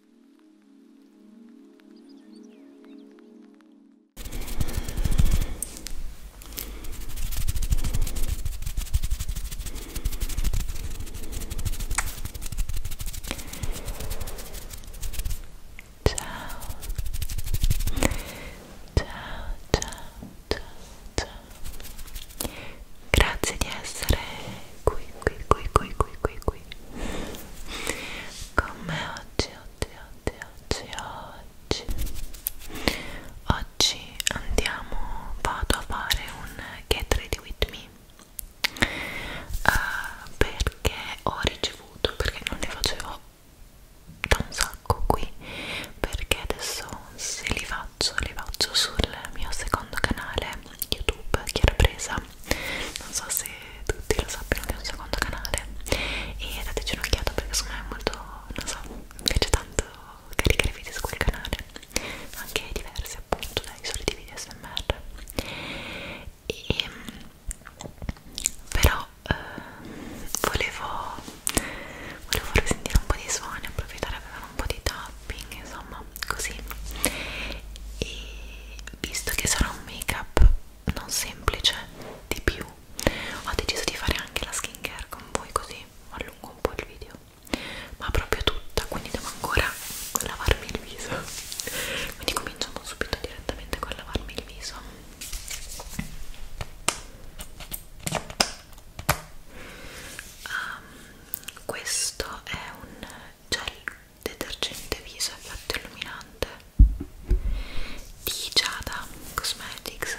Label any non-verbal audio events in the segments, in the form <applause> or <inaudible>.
ciao grazie di essere qui qui qui qui qui qui qui con me oggi, oggi, oggi, oggi, oggi oggi andiamo, vado a fare un get ready with me uh, perché ho ricevuto, perché non ne facevo da un sacco qui perché adesso se li faccio, li faccio sul mio secondo canale youtube che era presa non so se tutti lo sappiano che è un secondo canale e dateci un'occhiata perché secondo me è molto, non so, mi piace tanto caricare video su quel canale anche diversi appunto dai soliti video smr e ehm, però eh, volevo volevo farvi sentire un po' di suoni approfittare per fare un po' di tapping insomma così e visto che sarà un make up non semplice di più ho deciso di fare anche la skincare con voi così allungo un po' il video ma proprio tutta quindi devo ancora lavarmi il viso quindi cominciamo subito direttamente con lavarmi il viso um, questo è un gel detergente viso effetto illuminante di Giada Cosmetics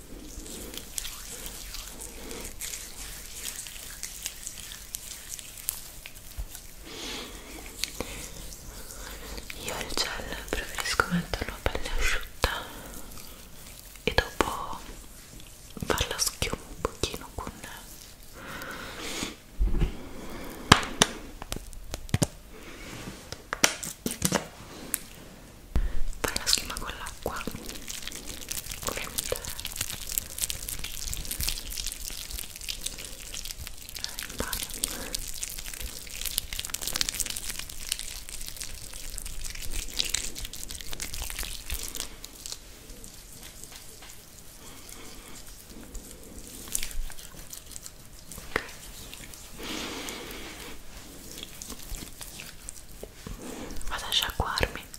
Io il gel preferisco metterlo a pelle asciutta e dopo farla schiuma un pochino con fai la schiuma con l'acqua ovviamente in bagno vado a sciacquarmi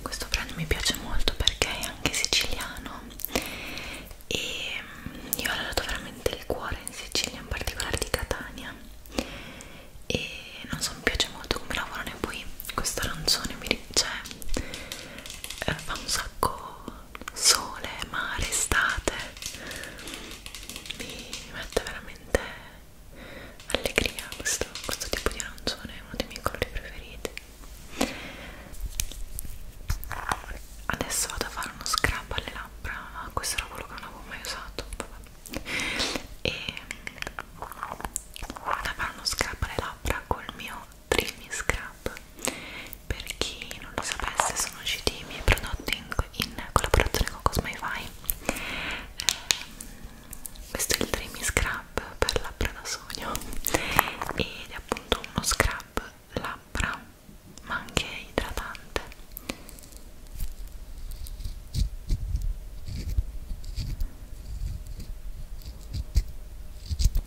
questo brand mi piace molto perché è anche siciliano e mm, io ho dato veramente il cuore in Sicilia, in particolare di Catania e non so, mi piace molto come lavorano e poi questo arancione mi cioè, eh, fa un sacco sole, mare, estate mi mette veramente allegria questo, questo tipo di arancione è uno dei miei colori preferiti adesso vado a fare uno scrub alle labbra questo era quello che non avevo mai usato vabbè. e vado a fare uno scrub alle labbra col mio Dreamy Scrub per chi non lo sapesse sono usciti i miei prodotti in, in collaborazione con Cosmify eh, questo è il Dreamy Scrub per labbra da sogno ed è appunto uno scrub labbra ma anche idratante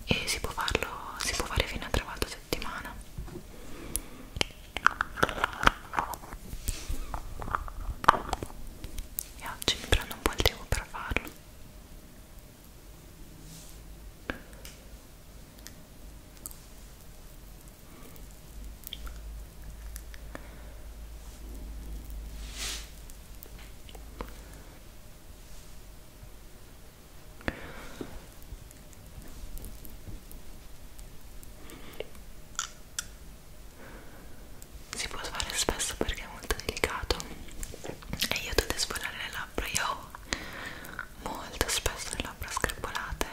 e si può farlo si può fare fino a tre volte a settimana e oggi mi prendo un po' il tempo per farlo si può fare spesso perché è molto delicato e io devo esplorare le labbra io ho molto spesso le labbra screpolate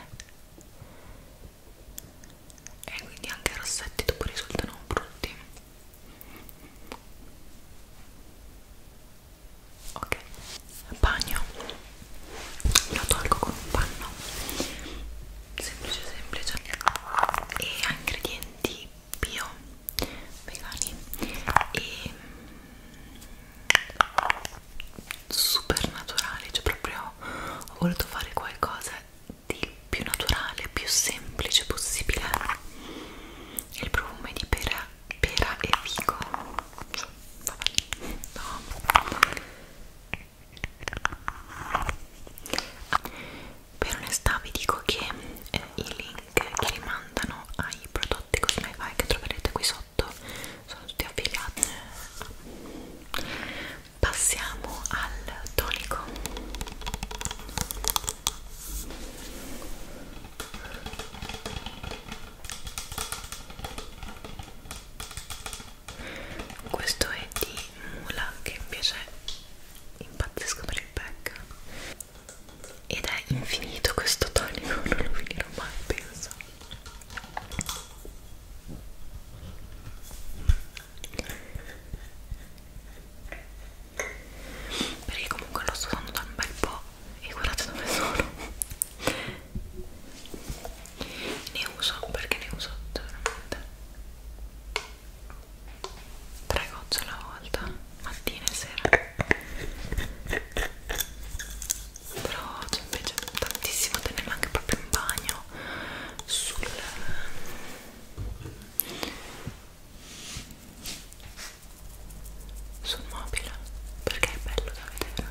e quindi anche i rossetti dopo risultano brutti ok bagno lo tolgo con un panno semplice semplice e ha ingredienti bio vegani e super naturale cioè proprio ho voluto fare qualcosa di più naturale più semplice possibile il profumo è di pera, pera e fico cioè, no per onestà vi dico che eh, i link che rimandano ai prodotti Cosmify che troverete qui sotto sono tutti affiliati passiamo al tonico questo è di mula che invece impazzisco per il pack ed è infinito questo tonico non lo finirò mai penso perché comunque lo sto usando da un bel po' e guardate dove sono ne uso perché ne uso veramente tre gocce alla volta mattina e sera però cioè, invece tantissimo tenerla anche proprio in bagno sul sul mobile perché è bello da vedere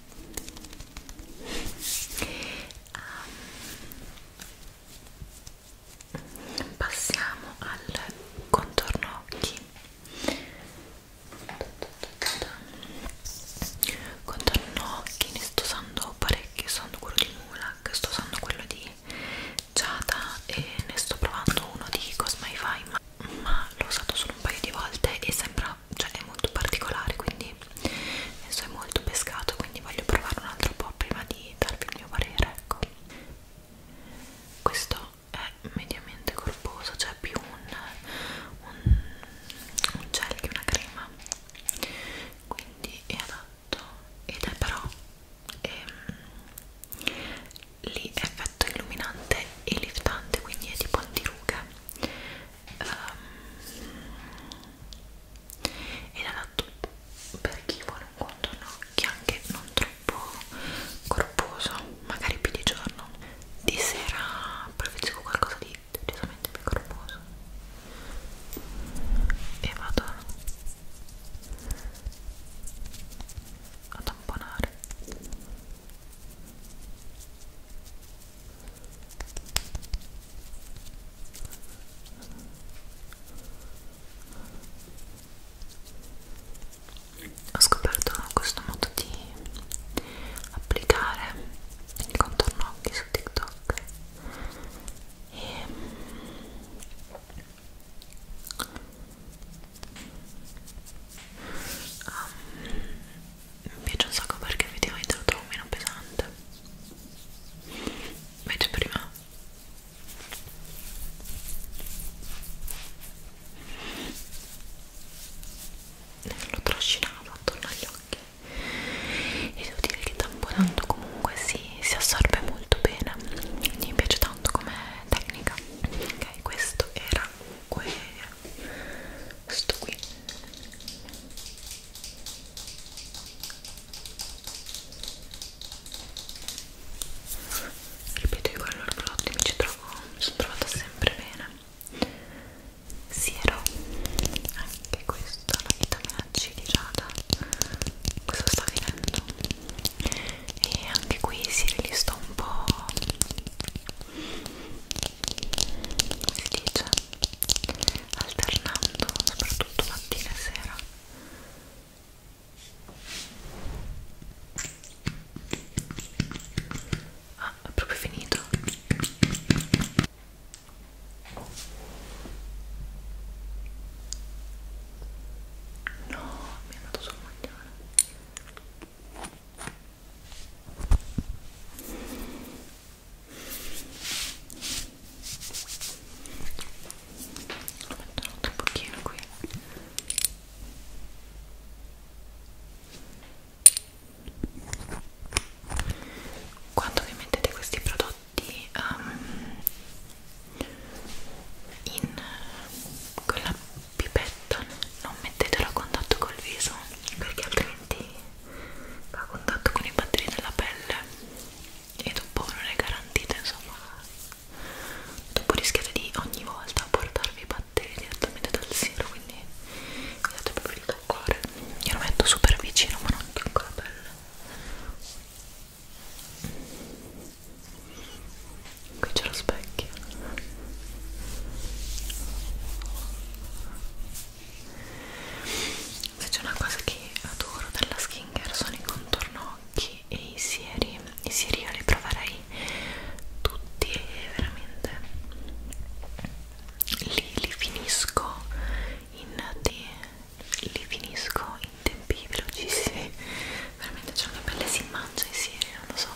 Um, passiamo al contorno occhi contorno occhi ne sto usando parecchi sto usando quello di Mulak sto usando quello di Giada e ne sto provando uno di Cosmify ma, ma l'ho usato solo un paio di volte e sembra cioè è molto particolare quindi adesso è molto pescato quindi voglio provare un altro po' prima di darvi il mio parere ecco questo è mediamente corposo cioè più un, un, un gel che una crema quindi è adatto ed è però è, ehm, lì è effetto illuminante e liftante quindi è tipo antirughe um, ehm, ed adatto per chi vuole un contorno che anche non troppo corposo magari più di giorno di sera preferisco qualcosa di decisamente più corposo e vado a tamponare ho scoperto questo modo di applicare il contorno occhi su TikTok e mm, um, mi piace un sacco perché effettivamente lo trovo meno pesante invece prima lo trascinavo attorno agli occhi e devo dire che tamponando comunque si, si assorbe molto bene mi piace tanto come tecnica ok questo era comunque sto qui ripeto io con i loro prodotti mi ci trovo mi sono trovata sempre bene siero anche questo la vitamina C di Giada questo sta finendo e anche qui si li sto un po' come si dice alternando soprattutto mattina e sera ah è proprio finito no mi è andato sul maglione lo metto un pochino qui quando vi mettete questi prodotti um, in quella pipetta non mettetelo a contatto col viso perché altrimenti va a contatto con i batteri della pelle e dopo non è garantito insomma dopo rischiate di ogni volta portarvi i batteri direttamente dal seno quindi mi date proprio il toccare io lo metto super vicino ma non tocco la pelle qui c'è lo specchio Invece una cosa che adoro della skincare sono i contorno occhi e i sieri. I sieri io li proverei tutti e veramente li, li finisco in te, li finisco in tempi velocissimi. Veramente c'è cioè una pelle si mangia i sieri, non lo so.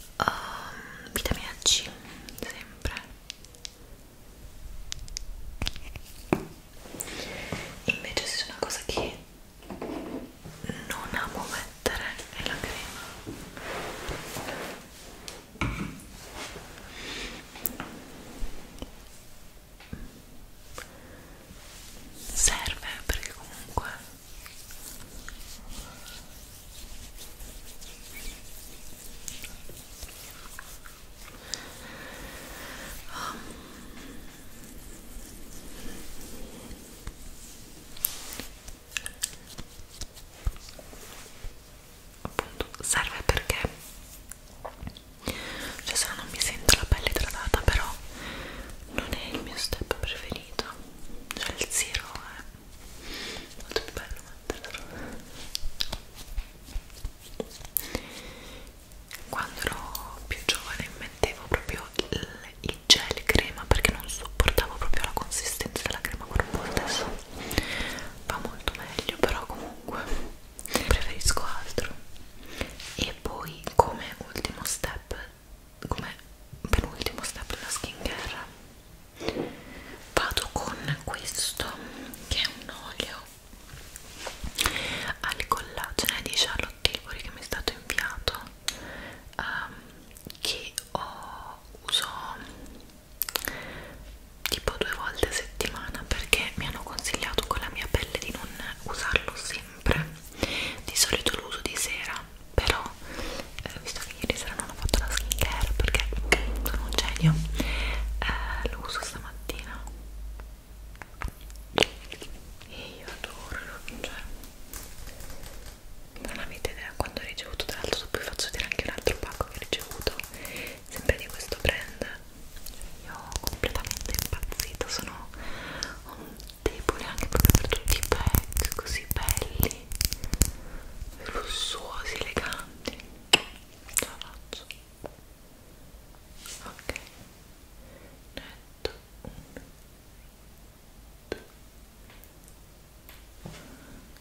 um, vitamina C sempre invece se c'è una cosa che non amo mettere è la crema serve perché comunque Oh. Appunto, serve perché cioè se no non mi sento la pelle idratata però non è il mio step preferito cioè il zero è molto più bello metterlo quando ero più giovane mettevo proprio il, il gel crema perché non sopportavo proprio la consistenza della crema corporea adesso va molto meglio però comunque preferisco altro e poi come ultimo step come penultimo step della skincare vado con questo che è un olio al collagene di Charlotte Tilbury che mi è stato inviato um, che ho, uso tipo due volte a settimana perché mi hanno consigliato con la mia pelle di non usarlo sempre di solito l'uso di sera skincare però eh, visto che ieri sera non ho fatto la skincare perché sono un genio eh, lo uso stamattina e io adoro cioè non avete idea quando ho ricevuto tra l'altro poi faccio vedere anche un altro pacco che ho ricevuto sempre di questo brand cioè, io ho completamente impazzito sono un debole anche proprio per tutti i pack così belli lussuosi, eleganti ce la faccio ok netto uno due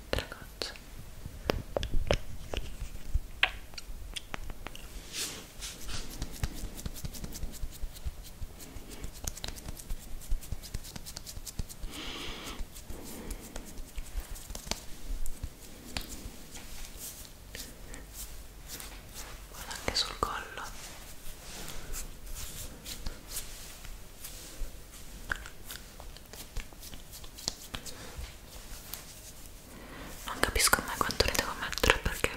tre gocce guarda anche sul collo non capisco mai quanto ne devo mettere perché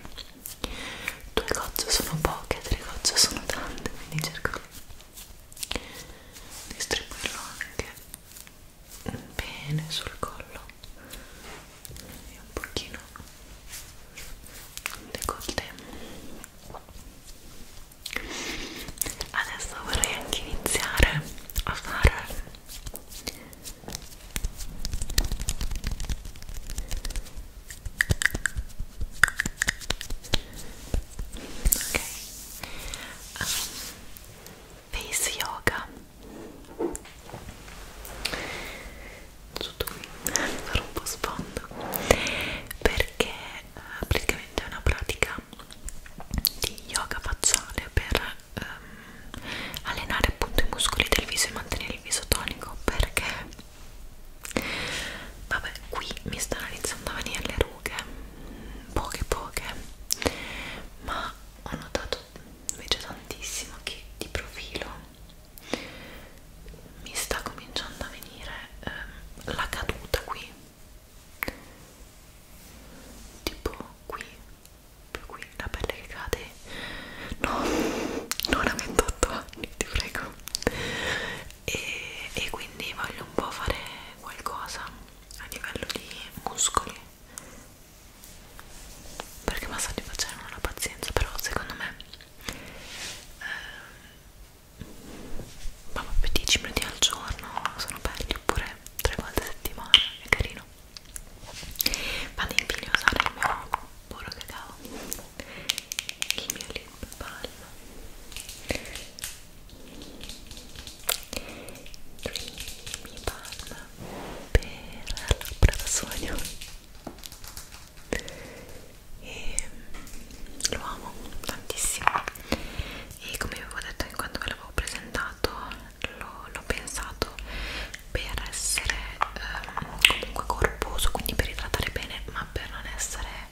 due gocce sono poche, tre gocce sono tante quindi cerco distribuirlo anche bene sul collo e un pochino decolte adesso vorrei anche iniziare a fare ok um, face yoga tutto qui farò un po' sfondo perché uh, praticamente è una pratica di yoga facciale per um, allenare appunto i muscoli del viso e mantenere il viso tonico perché vabbè qui mi stanno iniziando a venire le rughe lunghe poche poche ma ho notato invece tantissimo che di profilo mi sta cominciando a venire eh, la caduta qui tipo qui più qui la pelle che cade no <laughs> non a 28 anni ti prego e, e quindi voglio un po' fare qualcosa a livello di muscoli perché massaggi facciano non ho la pazienza però secondo me eh, ma proprio 10 minuti al giorno sono belli oppure 3 volte a settimana è carino vado infine a usare il mio puro cacao il mio lì una palla Dreamy palla per labbra da sogno e lo amo tantissimo e come vi avevo detto in quanto ve l'avevo presentato l'ho pensato per essere eh, comunque corposo quindi per idratare bene ma per non essere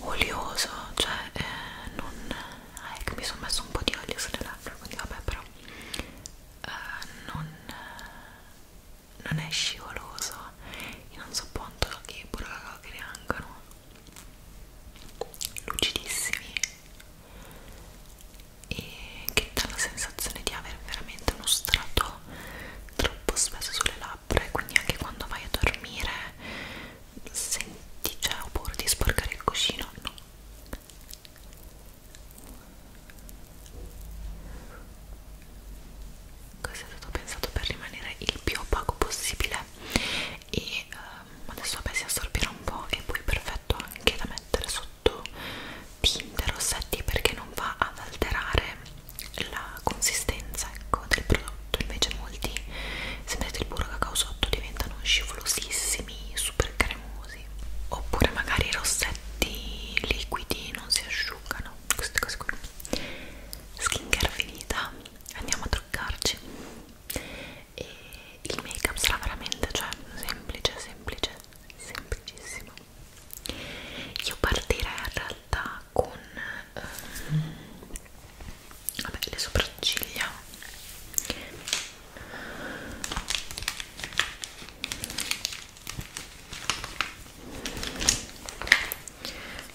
olioso cioè eh, non eh, ah, che ecco, mi sono messo un po' di olio sulle labbra quindi vabbè però eh, non, eh, non è scivoloso io non so quanto che pure la che riangano lucidissimi e che dà la sensazione di avere veramente uno strato troppo spesso sulle labbra e quindi anche quando vai a dormire senti, cioè ho paura di sporcare il cuscino, no questo è stato pensato per rimanere il più opaco possibile e um, adesso vabbè si assorbirà un po' e poi perfetto anche da mettere sotto tinte rossetti perché non va ad alterare la consistenza ecco, del prodotto invece molti se mettete il burro cacao sotto diventano scivolosissimi super cremosi oppure magari i rossetti liquidi non si asciugano queste cose qui skincare finita andiamo a truccarci e il make up sarà veramente cioè semplice semplice semplicissimo io partirei in coperta con ehm, vabbè, le sopracciglia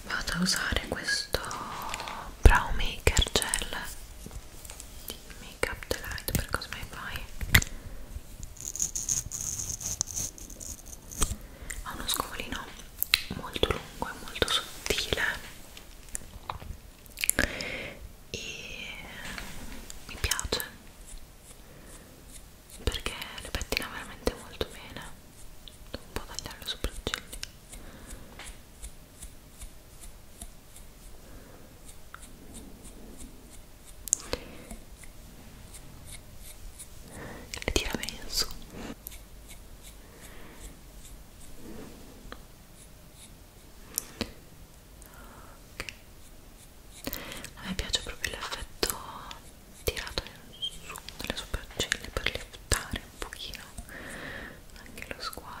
vado a usare questo brow maker gel di make up delight per cosmify ha uno scovolino molto lungo e molto sottile e mi piace perché le pettina veramente molto bene devo un po' tagliare le sopracciglia le tira bene in su ok a me piace proprio l'effetto tirato in su dalle sopracciglia per liftare un pochino anche lo sguardo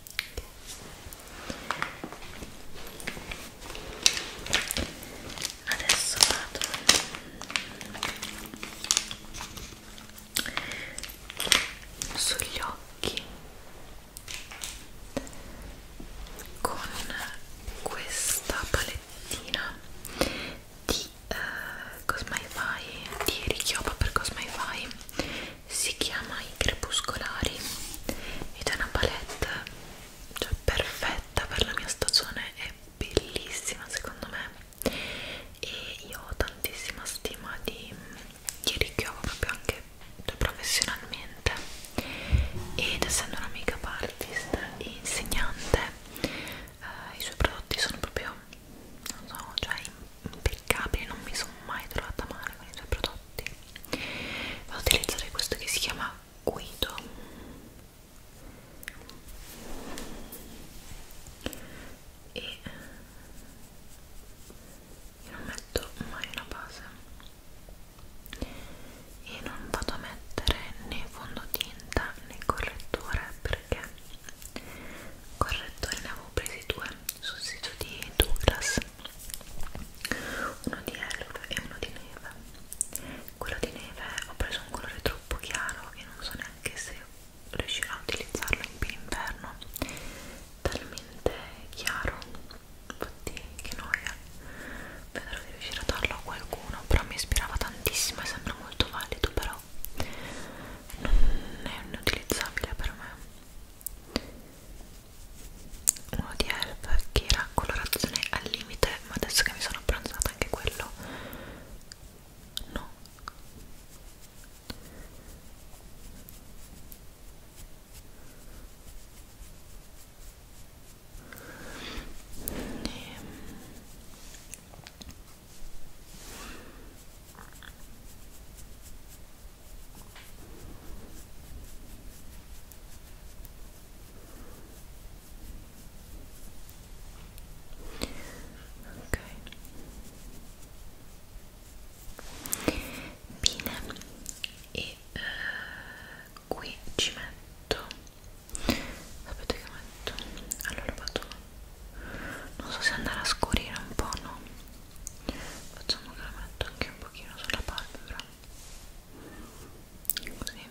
adesso vado sugli occhi con questa palettina di eh, Cosmify di Richiopa per Cosmify si chiama I Crepuscolari ed è una palette cioè, perfetta per la mia stagione, è bellissima secondo me e io ho tantissima stima di, di Richiova proprio anche professionalmente ed essendo una makeup artist e insegnante eh, i suoi prodotti sono proprio non so, cioè impeccabile, non mi sono mai trovata male con i suoi prodotti. Vado a utilizzare questo che si chiama Guido. E eh, io non metto mai una base e non vado a mettere né fondotinta né correttore perché correttore ne avevo presi due su sito di Douglas uno di Elf e uno di Neve quello di Neve ho preso un colore troppo chiaro e non so neanche se riuscirò a utilizzarlo in pieno inverno talmente chiaro infatti che noia vedrò di riuscire a darlo a qualcuno però mi ispirava tantissimo e sembra molto valido però non è inutilizzabile per me uno di Elf che era colorazione al limite ma adesso che mi sono abbronzata anche quello no e... Ehm ok bene e eh, qui ci metto sapete che metto? allora vado non so se andare a scurire un po' no facciamo che la metto anche un pochino sulla palpebra così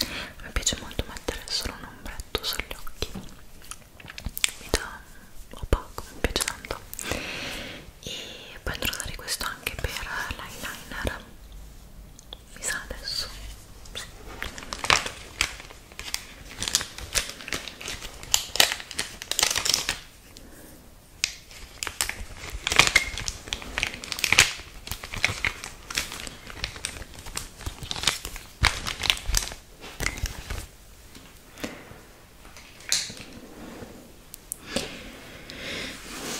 mi piace molto mettere solo un ombretto sugli occhi mi dà opaco, mi piace tanto e poi andrò a usare questo anche per l'eyeliner mi sa adesso sì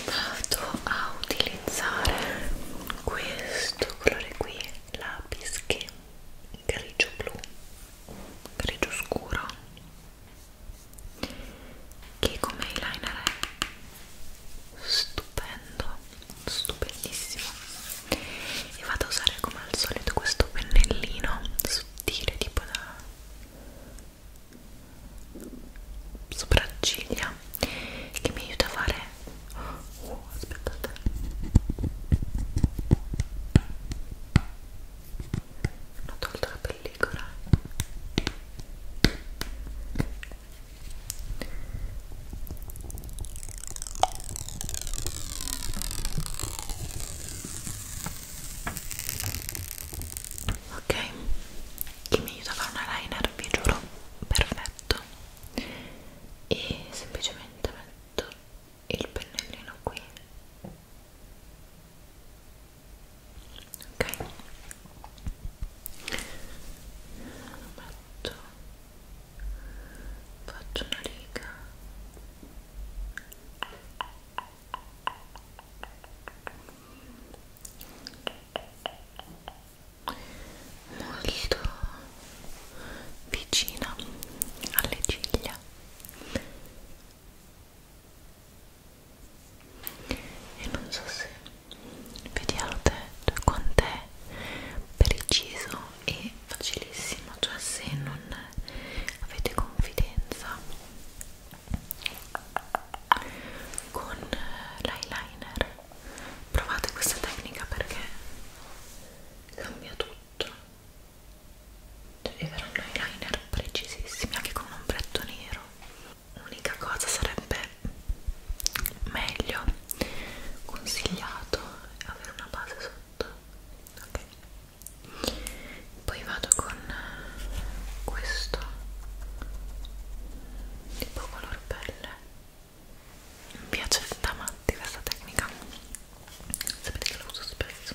vado a utilizzare questo colore qui lapis che grigio blu grigio scuro che come eyeliner è stupendo stupendissimo e vado a usare come al solito questo pennellino sottile tipo da sopracciglia che mi aiuta a fare oh, aspettate ho tolto la pellicola ok chi mi aiuta a fare una liner vi giuro perfetto e semplicemente metto il pennellino qui ok metto faccio una riga molto vicina alle ciglia e non so se vediate cioè, quant'è preciso e facilissimo cioè se non avete confidenza con l'eyeliner provate questa tecnica perché cambia tutto arriveranno i liner precisissimi anche con un ombretto nero l'unica cosa sarebbe meglio consigliato avere una base sotto ok poi vado con questo tipo color pelle mi piace da matti questa tecnica sapete che la uso spesso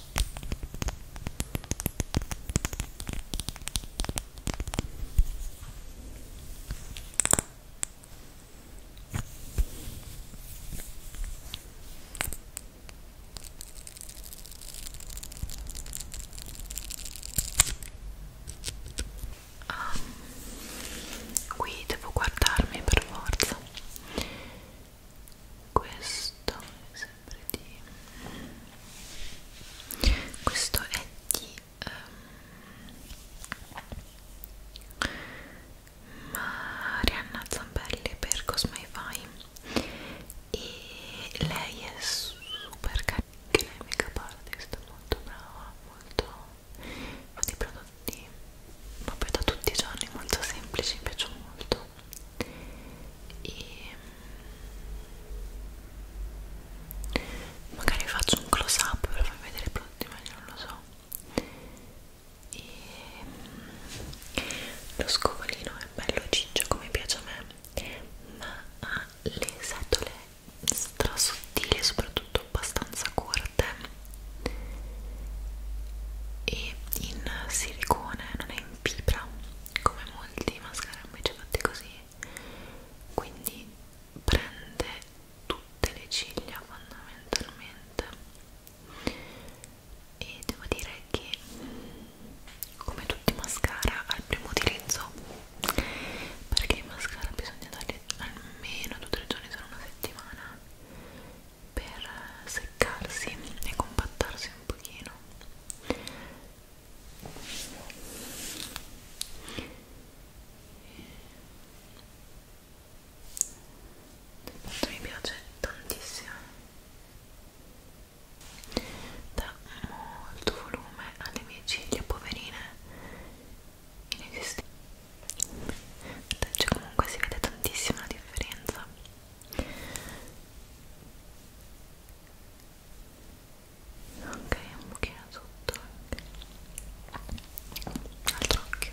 Ah, qui devo guardarmi per forza questo è sempre di questo è di um, Marianna Zambelli per Cosmai Vai e lei è super carina che lei make up artist molto brava molto fa dei prodotti proprio da tutti i giorni molto semplici mi piacciono molto adesso e mm, magari faccio un close up per farvi vedere i prodotti meglio non lo so e mm, lo scovolino è bello ciccio come piace a me ma ha le setole strasottili e soprattutto abbastanza corte e in silicone non è in fibra come molti mascara invece fatti così quindi prende tutte le ciglia fondamentalmente e devo dire che mm, come tutti i mascara al primo utilizzo perché i mascara bisogna darli almeno 2-3 giorni se non una settimana per seccarsi e compattarsi un pochino questo mi piace tantissimo dà molto volume alle mie ciglia poverine inesistenti comunque si vede tantissima la differenza ok un pochino sotto altro occhio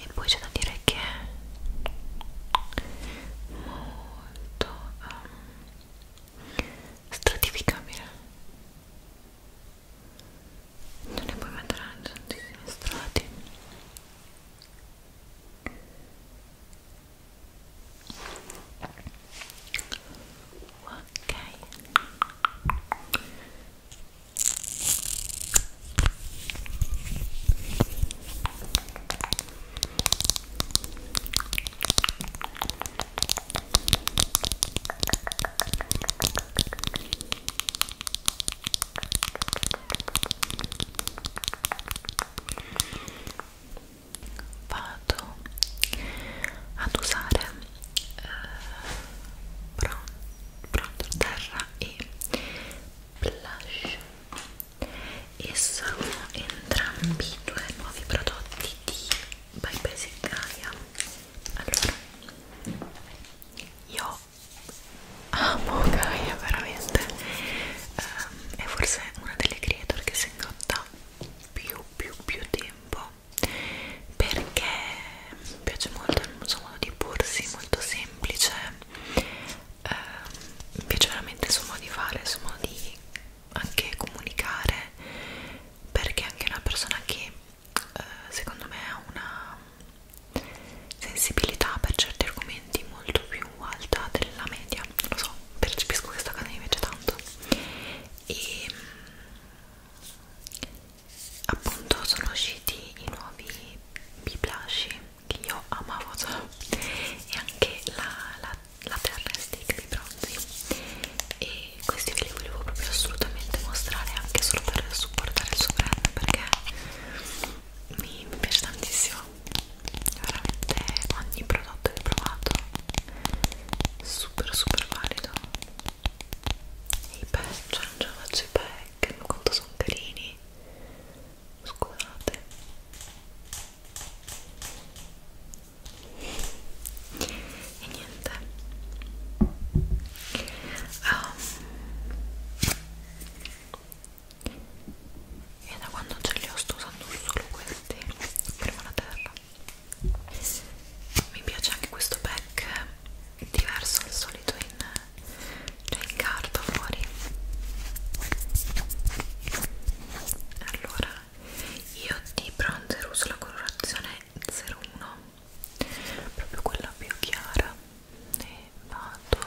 e poi c'è da dire che è molto um, stratificabile non ne puoi mettere tantissimi strati ok vado ad usare eh, bronzer terra e blush e sono entrambi due nuovi prodotti di By Basic Gaia allora io amo Gaia veramente um, è forse una delle creator che si ingotta più più più tempo perché mi piace molto il suo modo di porsi molto semplice eh, mi piace veramente il suo modo di fare, il suo modo di anche comunicare perché è anche una persona che eh, secondo me ha una sensibilità per certi argomenti molto più alta della media non lo so, percepisco questa cosa mi piace tanto e appunto sono usciti i nuovi B blush che io amavo già cioè, e anche la, la, la terra stick di bronzi e questi ve li volevo proprio assolutamente mostrare anche solo per supportare il suo brand perché mi, mi piace tantissimo veramente ogni prodotto che ho provato super super valido e i pezzi, cioè non ce la faccio i pezzi che mi conto sono carini scusate e niente um, e da quando ce li ho sto usando solo questi prima la terra mi piace anche questo pack diverso al solito in c'è cioè, il cardo fuori allora io di bronzer uso la colorazione 01 proprio quella più chiara e vado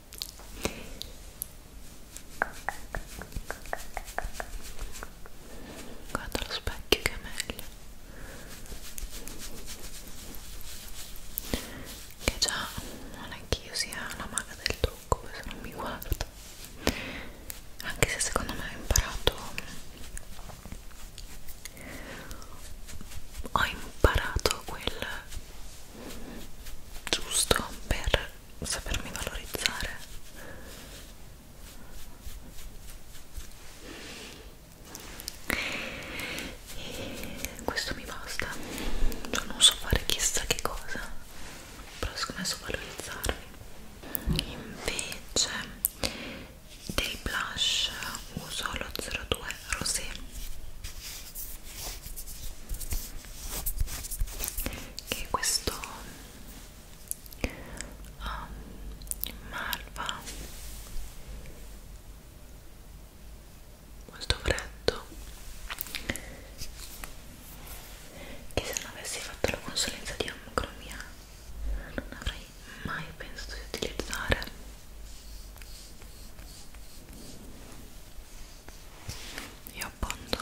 guarda lo specchio che è meglio che già non è che io sia la maga del trucco questo non mi guardo anche se secondo me ho imparato ho imparato quel giusto per sapermi valorizzare e questo mi basta Io non so fare chissà che cosa però siccome so valorizzarmi invece del blush uso lo 02 rosé che questo um, malva molto freddo che se non avessi fatto la consulenza di omocromia non avrei mai pensato di utilizzare io appondo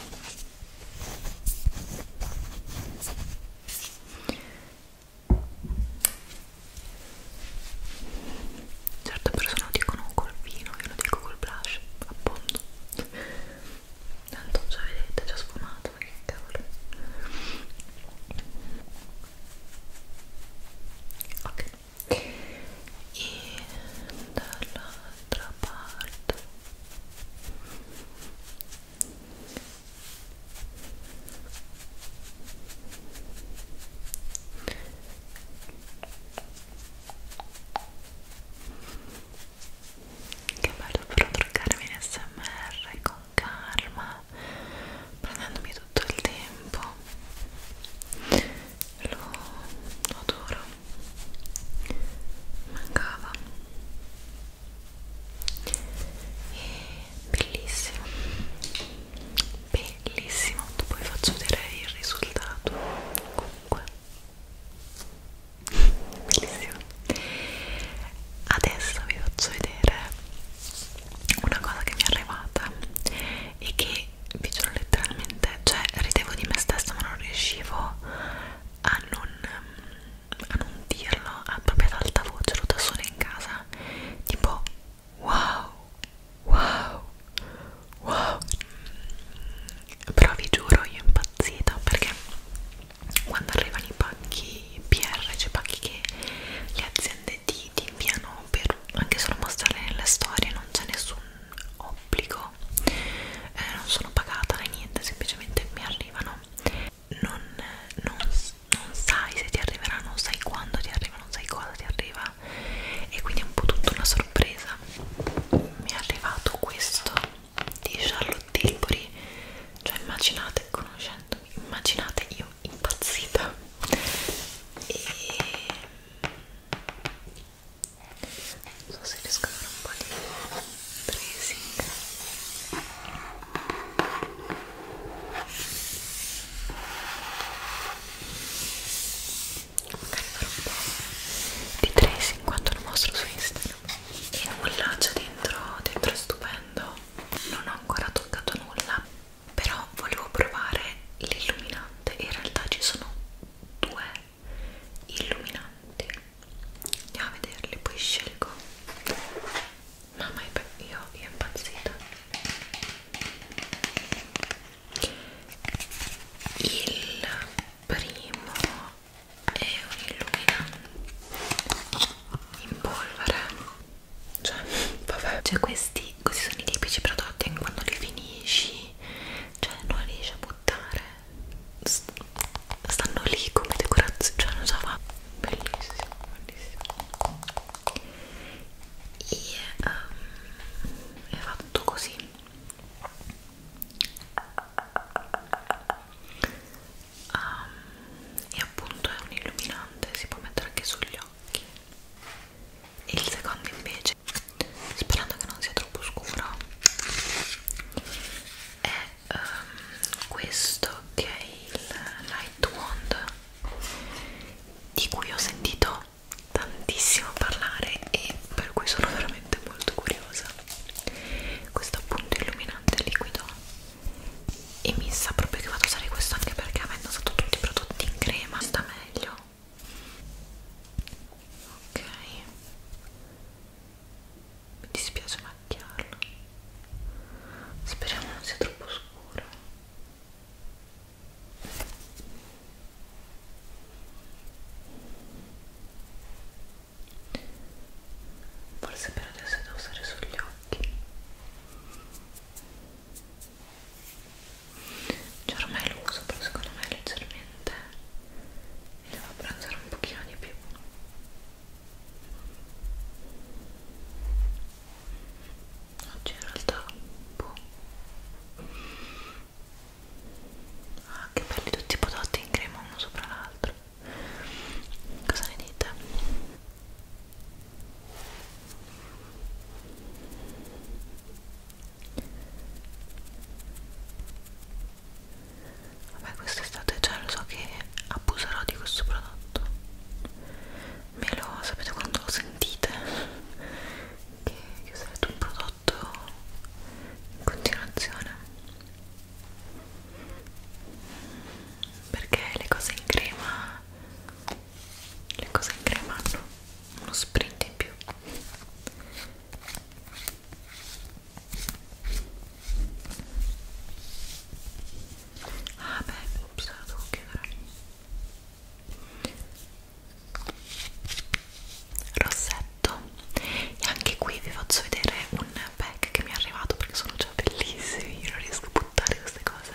certe persone lo dicono col vino io lo dico col blush appondo tanto già vedete è già sfumato ma che cavolo ok y dall'altra parte che bello però truccarmi in smr con calma prendendomi tutto il tempo lo, lo adoro mancava e bellissimo bellissimo poi faccio vedere il risultato comunque bellissimo adesso vi faccio vedere una cosa che mi è arrivata e che vi giuro letteralmente, cioè ridevo di me stessa ma non riuscivo a non, a non dirlo a proprio ad alta voce, ero da sola in casa, tipo wow, wow, wow, però vi giuro io impazzita perché quando arrivano i pacchi PR, cioè pacchi che le aziende ti, ti inviano per anche solo mostrare nelle storie, non c'è nessun obbligo, eh, non sono pagata né niente, semplicemente mi arrivano. Non, non, non sai se ti arriverà, non sai quando ti arriva, non sai cosa ti arriva, e quindi è un po' tutta una sorpresa. Mi è arrivato questo di Charlotte Tilbury, cioè immaginate, conoscendomi, immaginate io impazzita. E non so se riesco a fare un po' di tracing magari farò un po' di tracing quando lo mostro su Instagram e nulla c'è dentro, dentro è stupendo non ho ancora toccato nulla però volevo provare l'illuminante in realtà ci sono due illuminanti andiamo a vederli poi scelgo mamma io è impazzita il primo è un illuminante in polvere cioè <laughs> vabbè cioè questi, questi sono i tipici prodotti quando li finisci cioè non riesce a buttare St stanno lì come decorazione cioè non so va bellissimo bellissimo e um, ehm, è fatto così um, e appunto è un illuminante si può mettere anche sugli occhi il secondo invece sperando che non sia troppo scura è um, ehm, questo che è il Light Wand di cui ho sentito tantissimo parlare e per cui sono veramente molto curiosa questo appunto illuminante liquido e mi sa proprio che vado a usare questo anche perché avendo usato tutti i prodotti in crema sta meglio ok mi dispiace macchiarlo speriamo non sia troppo scuro forse per adesso devo usare sugli occhi cioè ormai lo uso però secondo me leggermente mi devo abbronzare un pochino di più oggi in realtà boh ah che belli tutti i prodotti in crema uno sopra l'altro cosa ne dite? Vabbè quest'estate già lo so che abuserò di questo prodotto Me lo sapete quando lo sentite? Che, che userete un prodotto in continuazione Perché le cose in crema le cose in crema hanno uno sprint in più ah beh, ops, la devo chiudere rossetto e anche qui vi faccio vedere un pack che mi è arrivato perché sono già bellissimi, io non riesco a buttare queste cose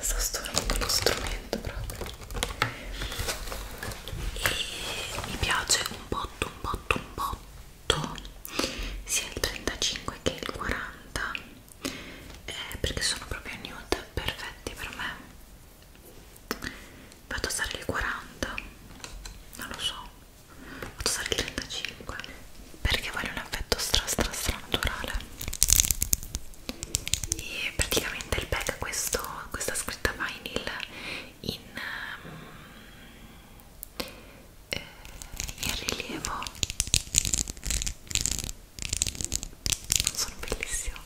sto stornando lo strumento proprio e mi piace un botto un botto un botto sia il 35 che il 40 eh, perché sono proprio nude perfetti per me vado a usare il 40 non lo so vado a usare il 35 perché voglio un effetto stra stra stra naturale e praticamente il pack ha questo, questa scritta vinyl in, um, eh, in rilievo sono bellissimo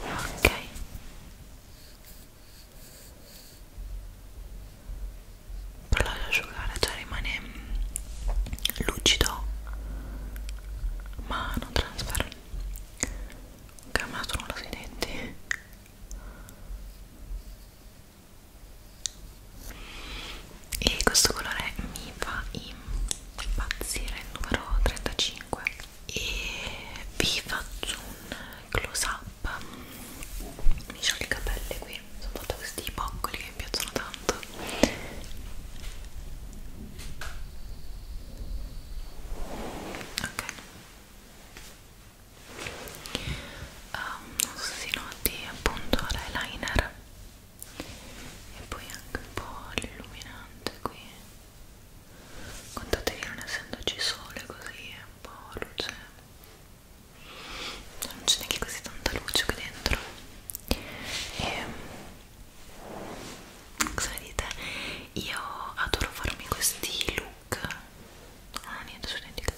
ok però lascio asciugare cioè rimane lucido ma non trasfero ho cambiato non lo sui denti e questo colore mi fa impazzire il numero 35 e vi faccio un close up up mi scioglie i capelli qui sono fatta questi boccoli che mi piacciono tanto ok um, non so se si noti appunto l'eyeliner e poi anche un po' l'illuminante qui contate che non essendoci sole così è un po' luce non c'è neanche così tanta luce qui dentro e mm, cosa ne dite? io adoro farmi questi look ah niente sono identica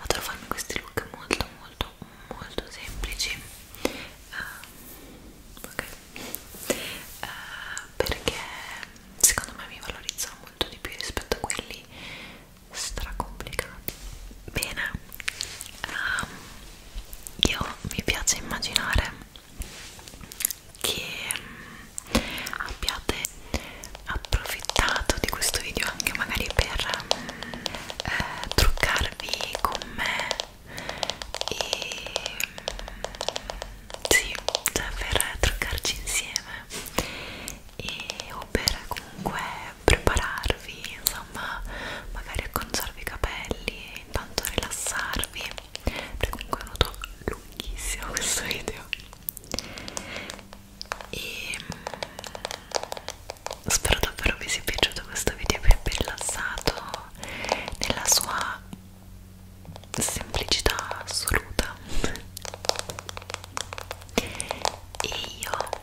adoro farmi questi look molto molto molto semplici uh, ok uh, perché secondo me mi valorizzano molto di più rispetto a quelli stracomplicati bene um, io mi piace immaginare che um, abbiate approfittato di questo video anche magari per um, eh, truccarvi con me e um, sì, cioè per eh, truccarci insieme e, o per comunque prepararvi, insomma, magari acconciarvi i capelli e intanto rilassarvi perché comunque è venuto lunghissimo questo video e mm, spero davvero vi sia piaciuto questo video vi abbia rilassato nella sua semplicità assoluta e io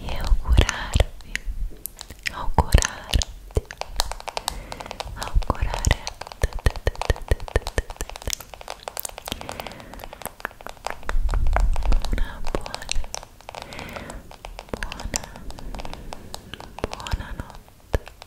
e augurarvi augurarti augurare una buona buona buona notte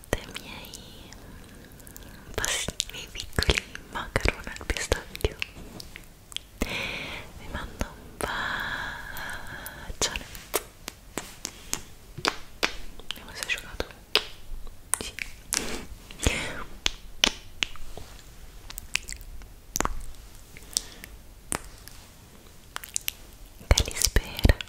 durante i miei, i miei piccoli macaroni al pistacchio vi mando un bacione vediamo se è asciugato sì. che li spera